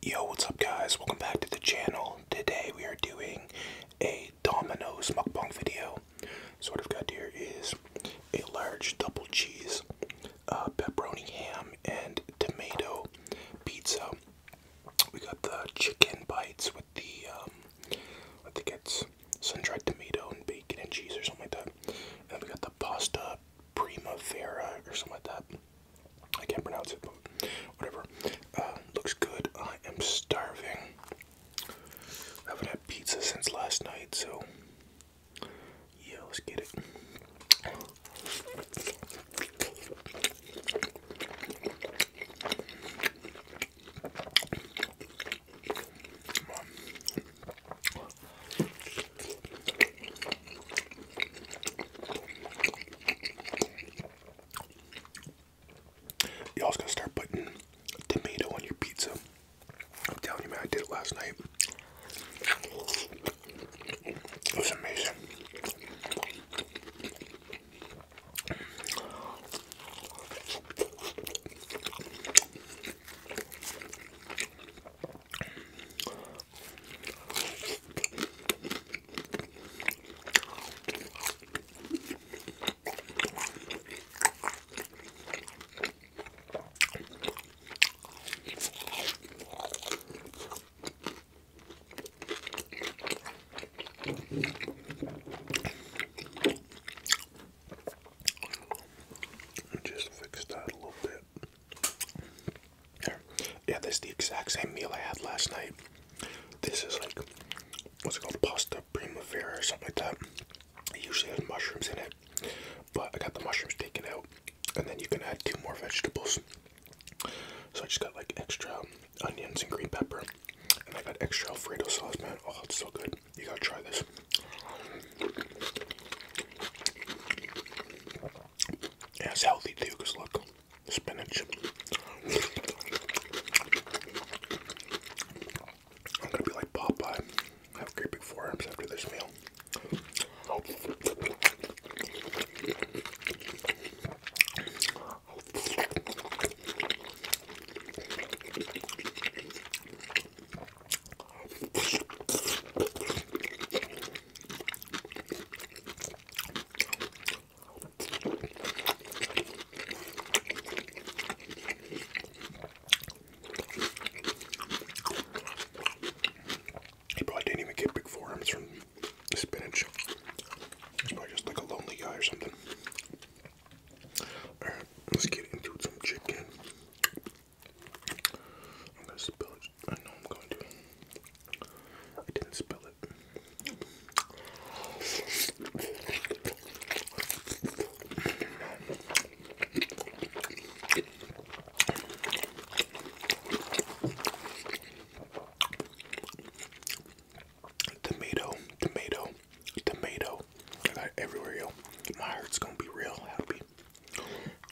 Yo, what's up guys? Welcome back to the channel. Today we are doing a Domino's mukbang video. So what I've got here is a large double cheese, uh, pepperoni ham, and tomato pizza. We got the chicken bites with the, um, I think it's sun-dried tomato and bacon and cheese or something like that. And we got the pasta primavera or something like that. I can't pronounce it, but whatever. Uh, looks good. I am starving. I haven't had pizza since last night, so yeah, let's get it. Y'all's gonna start putting tomato on your pizza. I'm telling you, man, I did it last night. It was amazing. I just fixed that a little bit. Yeah, this is the exact same meal I had last night. This is like, what's it called? Pasta primavera or something like that. It usually has mushrooms in it, but I got the mushrooms taken out, and then you can add two more vegetables. So I just got like extra onions and green pepper, and I got extra Alfredo sauce, man. Oh, it's so good. You gotta try this. Yeah, it's healthy too, because look, spinach. I'm gonna be like Popeye. I have great big forearms after this meal. He probably didn't even get big forearms from spinach. He's probably just like a lonely guy or something. Alright, let's get into some chicken. I know I'm going to. I didn't spell it. Tomato, tomato, tomato. I got it My heart's gonna be real happy.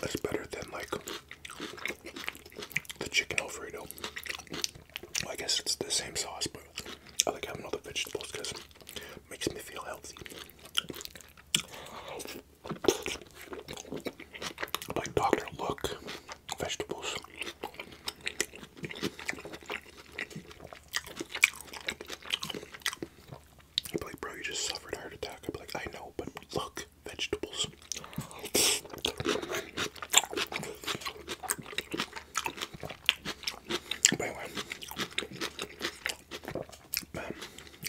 That's better than like the chicken Alfredo. I guess it's the same sauce, but I like having all the vegetables because it makes me feel healthy. Like Dr. Look, vegetables. I'd be like, bro, you just suffered a heart attack. I'd be like, I know, but look, vegetables. anyway,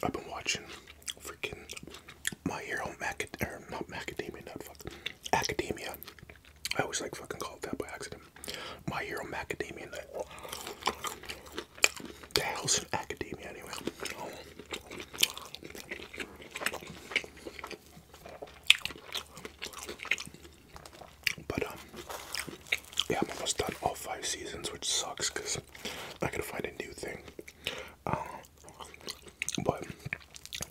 I've been watching freaking My Hero Macad- or not Macadamia Nut, fuck, Academia I always like fucking call it that by accident. My Hero Macadamia Nut. The hell's an academia anyway? Oh. But um, yeah, I'm almost done all five seasons, which sucks because I gotta find a new thing. Uh, but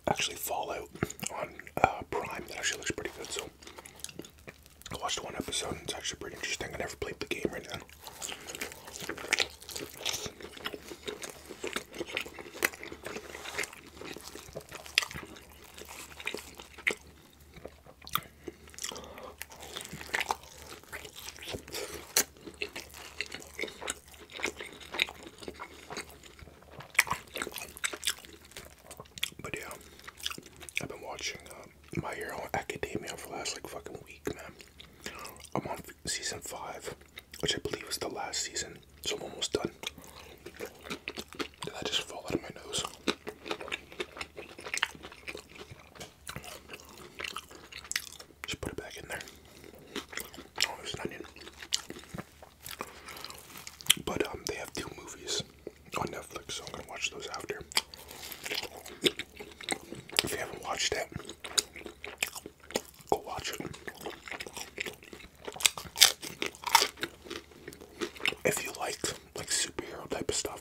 actually, Fallout on uh, Prime that actually looks pretty good. So I watched one episode and it's actually pretty interesting. I never played the game right now. But yeah, I've been watching uh, My Hero Academia for the last like fucking week, man. I'm on season five, which I believe is the last season, so I'm almost done. Did that just fall out of my nose? Just put it back in there. Oh, there's an onion. But um, they have two movies on Netflix, so I'm gonna watch those after. If you haven't watched it, go watch it. If you like like superhero type of stuff.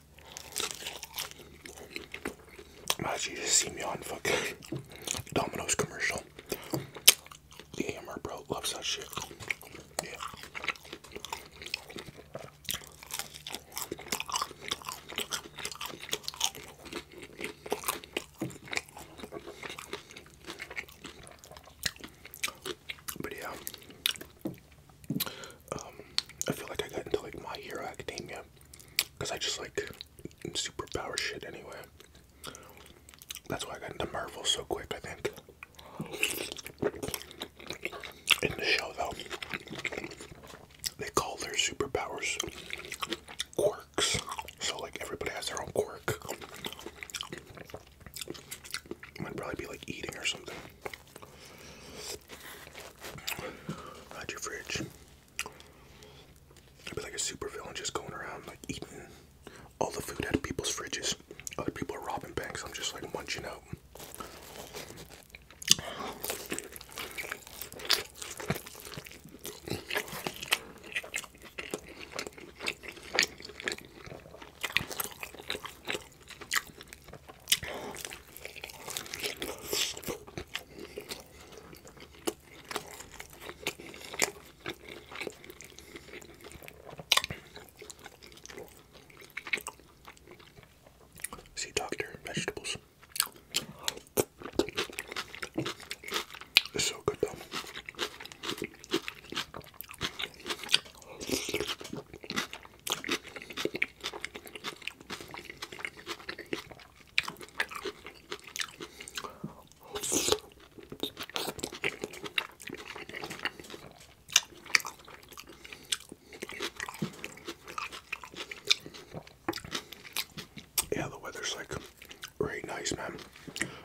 As you just see me on fucking Domino's commercial. The AMR bro loves that shit. Yeah. But yeah, um, I feel like I got into like My Hero Academia because I just like superpower shit anyway. That's why I got into Marvel so quick, I think. In the show, though, they call their superpowers quirks. So, like, everybody has their own quirk. It might probably be like eating or something. Hide your fridge. It'd be like a super villain just going around like eating all the food out of people's fridges. Other people are robbing banks. I'm just like munching out. See doctor vegetables. so good though. Yeah, the weather's like very nice, man.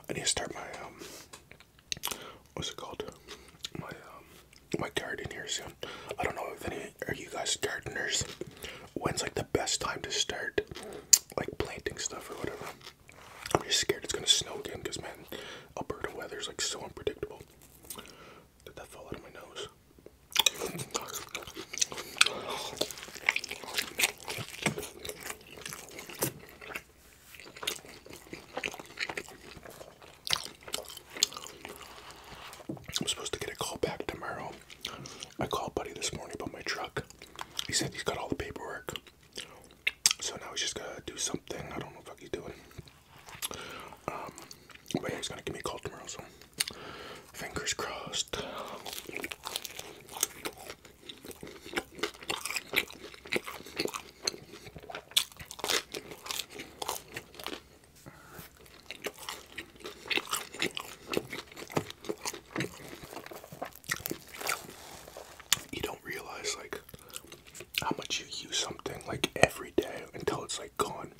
I need to start my um what's it called? My um, my garden here soon. I don't know if any are you guys gardeners. When's like the best time to start like planting stuff or whatever? I'm just scared it's gonna snow again because man, Alberta weather is like so unpredictable. Did that fall out of my nose? I'm supposed to get a call back tomorrow. I called Buddy this morning about my truck. He said he's got all the paperwork. So now he's just gonna do something. I don't know what he's doing. Um, but he's gonna give me a call tomorrow, so fingers crossed. You don't realize like how much you use something like every day until it's like gone.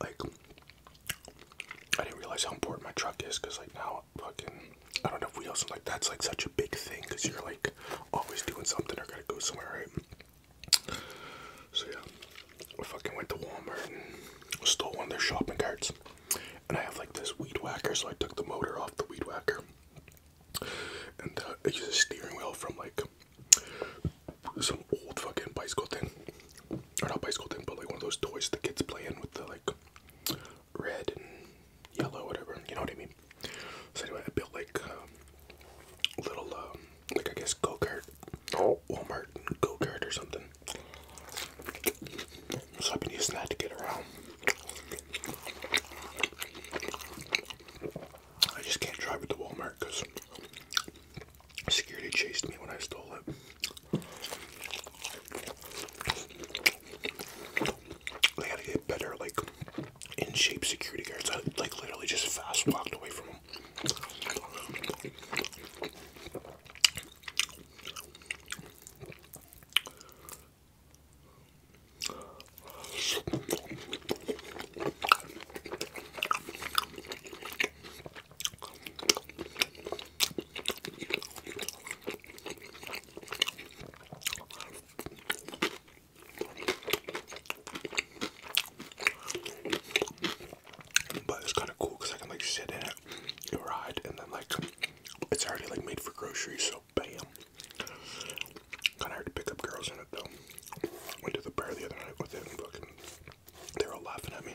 Like I didn't realize how important my truck is because like now fucking I don't know if we also like that's like such a big thing because you're like always doing something or gotta go somewhere right. So yeah, I fucking went to Walmart and stole one of their shopping carts. And I have like this weed whacker, so I took the motor off the weed whacker. And uh, I used a steering wheel from like some old fucking bicycle thing. Or not bicycle thing, but like one of those toys that kids play in with the like red and yellow, whatever. You know what I mean? So anyway, I built like a um, little, um, like I guess go kart, oh. Walmart go kart or something. So I've been using that to get around. I just can't drive at the Walmart because security chased me when I stole it. They gotta get better, like in shape security guards. I like literally just fast walked away from them. But it's kind of cool because I can like sit in it and ride, and then like it's already like made for groceries, so bam. Kind of hard to pick up girls in it though. Went to the bar the other night with it, they were all laughing at me.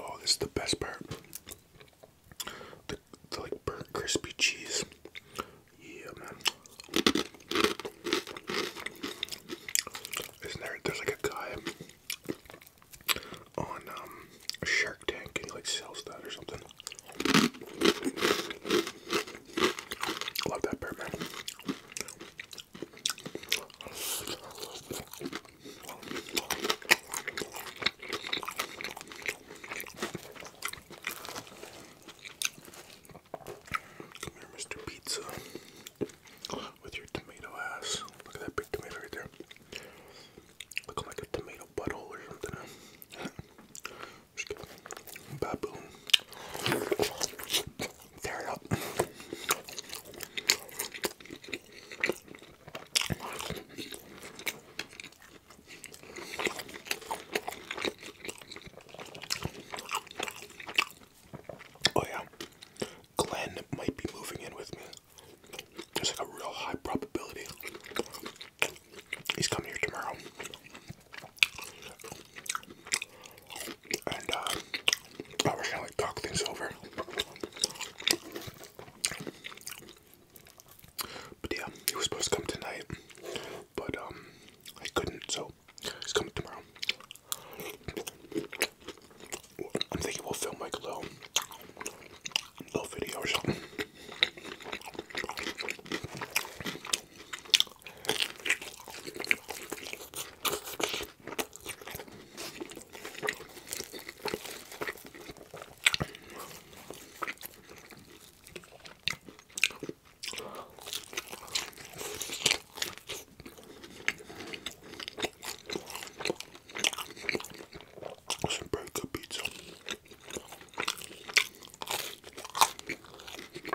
Oh, this is the best part. The, like burnt crispy cheese. Yeah, man. Isn't there? There's like a guy on um, Shark Tank, and he like sells that or something. Love that bear, man. Come here, Mr. Pizza with your tomato ass. Look at that big tomato right there. Look like a tomato butthole or something. Baboon. Tear it up. Oh yeah, Glenn might be moving in with me. There's like a real high probability. He's coming here tomorrow. And uh, oh, we're gonna like talk things over. But yeah, he was supposed to come tonight, but um, I couldn't, so he's coming tomorrow. I'm thinking we'll film like a little, little video some very good pizza. Come here, you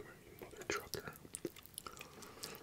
mother trucker.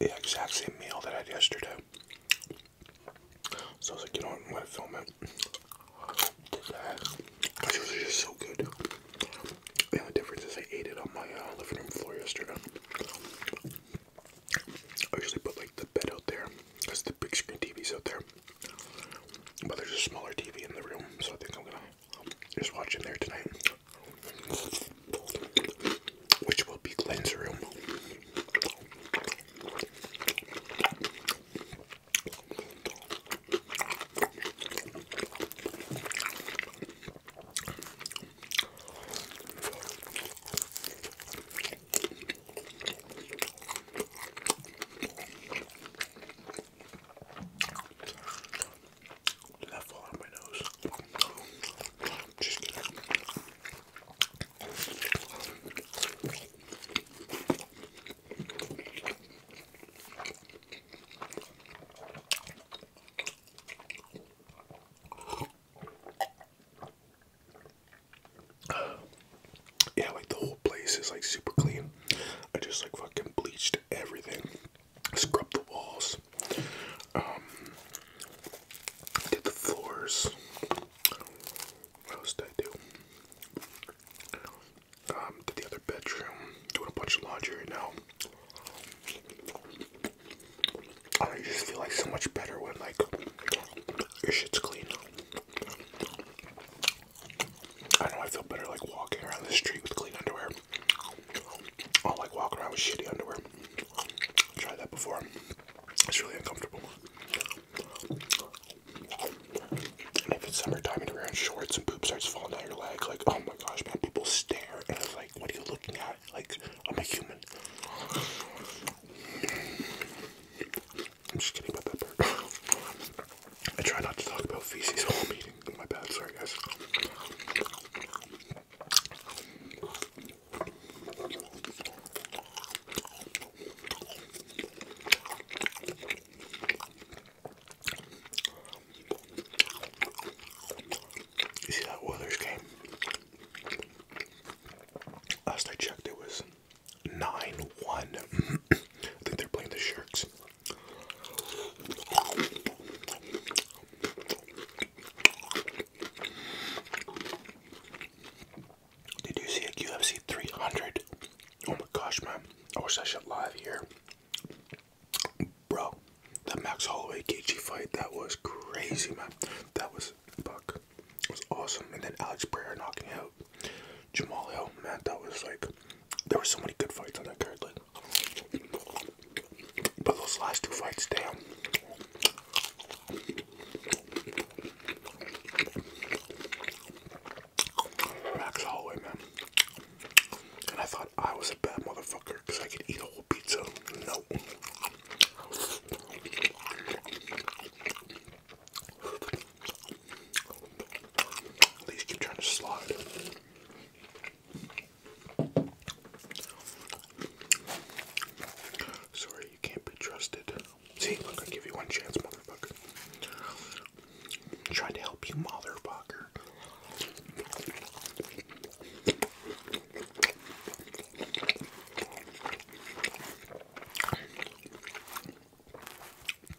the exact same meal that I had yesterday. So I was like, you know what, I'm gonna film it. Did that. Because it was just so good. The only difference is I ate it on my uh, living room floor yesterday. I usually put like the bed out there because the big screen TV's out there. But there's a smaller TV in the room, so I think I'm gonna just watching there tonight, which will be Glenn's room. Did that Just kidding. Yeah, like the whole place is like super clean. I just like fucking bleached everything. Scrub the walls, um, did the floors. What else did I do? Um, did the other bedroom, doing a bunch of laundry now. I just feel like so much better when like your shit's clean. I know I feel better like walking around the street with clean underwear. I like walking around with shitty underwear. I tried that before. It's really uncomfortable. And if it's summertime and you're wearing shorts and poop starts falling out your leg, like, oh my gosh, man, people stare. And it's like, what are you looking at? Like, I'm a human. I'm just kidding about that part. I try not to talk about feces all meeting. My bad, sorry guys. You see that Weathers game? Last I checked, it was 9 1. I think they're playing the Sharks. Did you see a UFC 300? Oh my gosh, man. I wish I should live here. Bro, the Max Holloway Gaethje fight, that was crazy, man. That was, fuck, was awesome. And then Alex Pereira knocking out Jamal Hill, man, that was like there were so many good fights on that card, but those last two fights, damn. Max Holloway, man. And I thought I was a bad motherfucker because I could eat a whole pizza. No. These keep trying to slide. Sorry, you can't be trusted. See, look, I give you one chance, motherfucker. Trying to help you, motherfucker.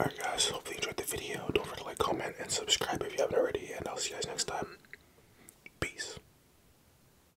Alright guys, hopefully you enjoyed the video. Don't forget to like, comment, and subscribe if you haven't already, and I'll see you guys next time. Peace.